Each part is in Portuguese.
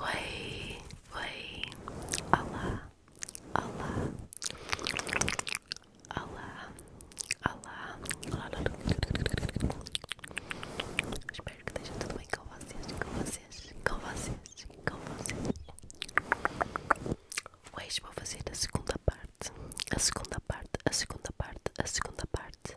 Oi, oi, olá, olá, olá, olá, olá. Espero que esteja tudo bem com vocês, com vocês, com vocês, com vocês. Hoje vou fazer a segunda parte, a segunda parte, a segunda parte, a segunda parte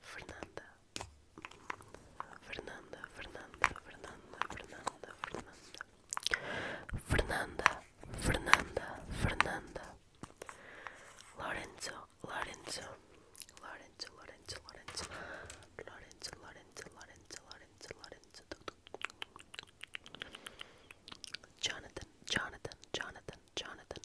Fernanda, Fernanda, Fernanda, Fernanda, Fernanda, Fernanda, Fernanda, Fernanda, Fernanda, Lorenzo, Lorenzo, Lorenzo, Lorenzo, Lorenzo, Lorenzo, Lorenzo, Lorenzo, Lorenzo, Lorenzo, Jonathan, Jonathan, Jonathan, Jonathan,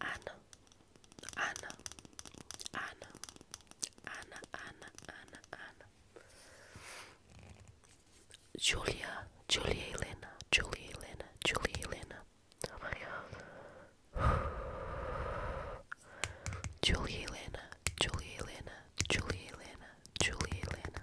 Anna, Anna, Anna, Anna, Anna, Anna, Anna. Julia, Julia Elena, Julia Elena, Julia Elena. Oh my god. Julia Elena, Julia Elena, Julia Elena, Julia Elena.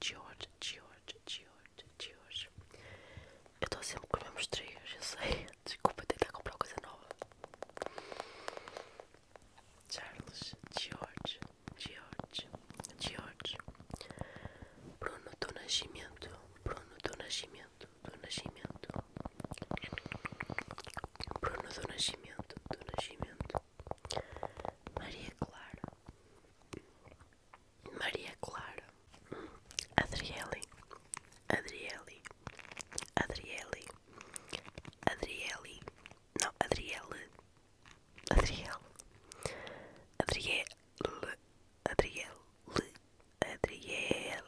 George, George, George, George, Eu estou sempre com os mesmos trios, eu sei. Desculpa que comprar coisa nova. Charles, George, George, George. Bruno do Nascimento, Bruno do Nascimento, do Nascimento. Bruno do Nascimento, do Nascimento. Maria Clara. Maria Clara, Adriele, Adriele, Adriele, Adriele, não, Adriele, Adriele, Adriele, Adriele, Adriele,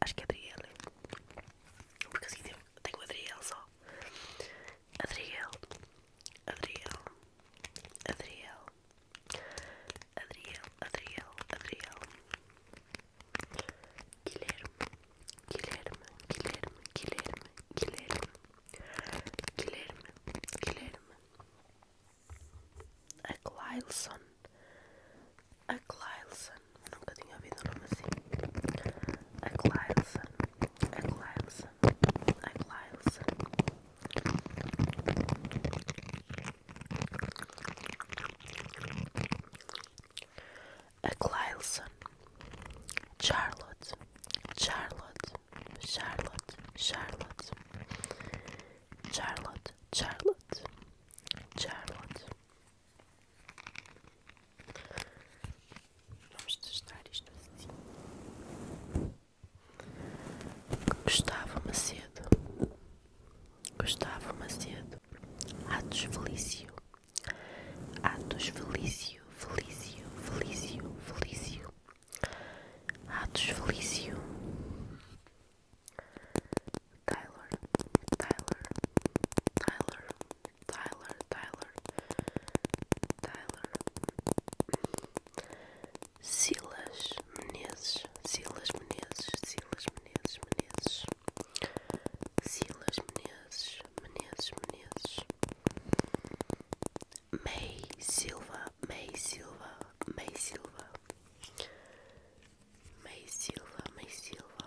acho que é Adriele, porque assim tenho, tenho Adriele só, Adriel, Adriel, Adriel, Adriel, Adriel, Adriel, Guilherme, Guilherme, Guilherme, Guilherme, Guilherme, Guilherme, Guilherme, a Glilson, a Glilson, nunca tinha ouvido uma nome assim, a Glilson, a Glilson, I'm Charlotte. Charlotte. Charlotte. Charlotte. Charlotte. Charlotte. Vamos testar isto assim. Gustavo Macedo. Gustavo Macedo. Atos Felício. Atos Felício. Felício. Felício. Felício. Atos Felício. Tyler. Tyler. Tyler. Tyler, Tyler, Tyler, Silas Menezes, Silas Menezes, Silas Menezes, Menezes, Silas Menezes, Menezes, Menezes, May Silva, May Silva, May Silva, May Silva, May Silva,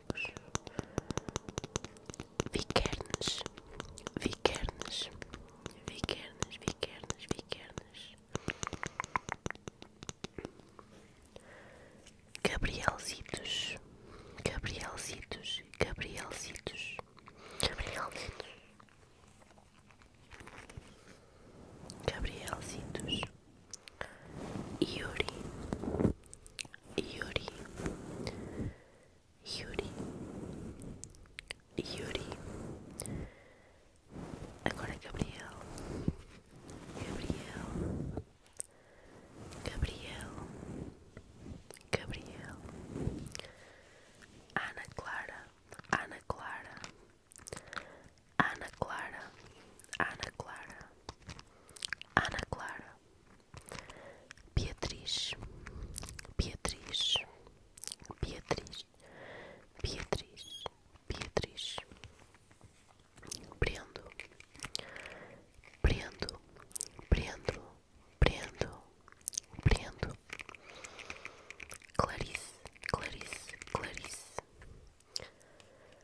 ambos. Vikernes, Vikernes, Vikernes, Vikernes, Vikernes. Gabrielzitos, Gabrielzitos, Gabrielzitos, Gabrielzitos, Gabrielzitos. Yuri, Yuri, Yuri, Yuri. Agora é Gabriel, Gabriel, Gabriel, Gabriel. Ana Clara, Ana Clara, Ana Clara, Ana Clara. Ana Clara, Beatriz, Beatriz, Beatriz, Beatriz, Beatriz, Prendo, Prendo, Prendo, Prendo, Prendo, Clarice, Clarice, Clarice.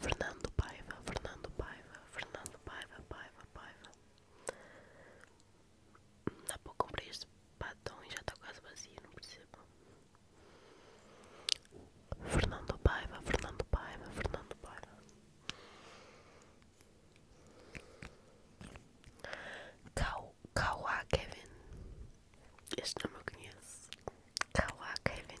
Fernando Paiva, Fernando Paiva, Fernando Paiva, Paiva, Paiva. Há pouco comprei este patão e já está quase vazio, não percebo. Fernando Paiva, Fernando Paiva, Fernando Paiva. Kau, Kawa Kevin. Este nome eu conheço. Kawa Kevin.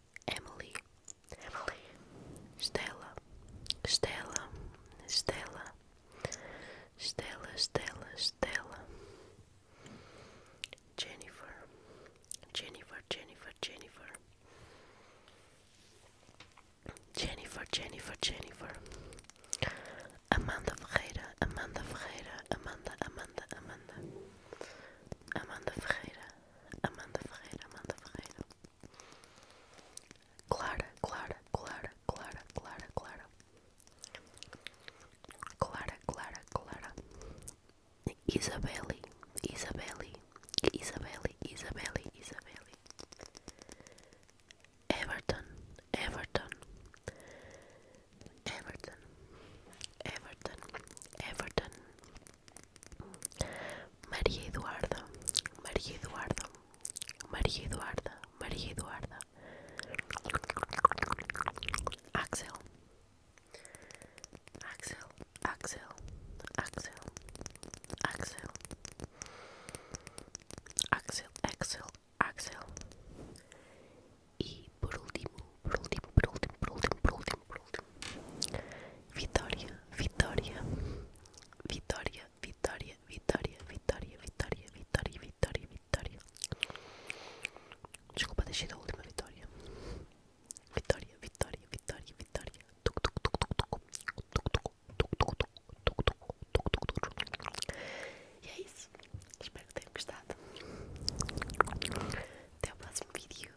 Emily, Emily, Stella, Stella, Stella, Stella, Stella, Stella, Jennifer, Jennifer, Jennifer, Jennifer, Jennifer, Jennifer, Jennifer, Amanda Ferreira, Amanda Ferreira, Amanda, Amanda, Amanda, Amanda Ferreira, Amanda Ferreira, Amanda Ferreira. Clara, Clara, Clara, Clara, Clara, Clara. Clara, Clara, Clara. Isabelle, Isabelle, Isabelle, Isabelle, Isabelle. Everton, Everton. Everton, Everton, Everton, Maria Eduarda, Maria Eduarda, Maria Eduarda, Maria Eduarda, Axel, Axel, Axel, Axel, Axel, Axel, Axel, Axel. E por último, por último, por último, por último, por último, por World. Vitória, Vitória, Vitória, Vitória, Vitória, Vitória, Vitória, Vitória, Vitória, Vitória. Desculpa, deixei da última Vitória. Vitória, Vitória, Vitória, Vitória. E é isso. Espero que tenham gostado. Até o próximo vídeo.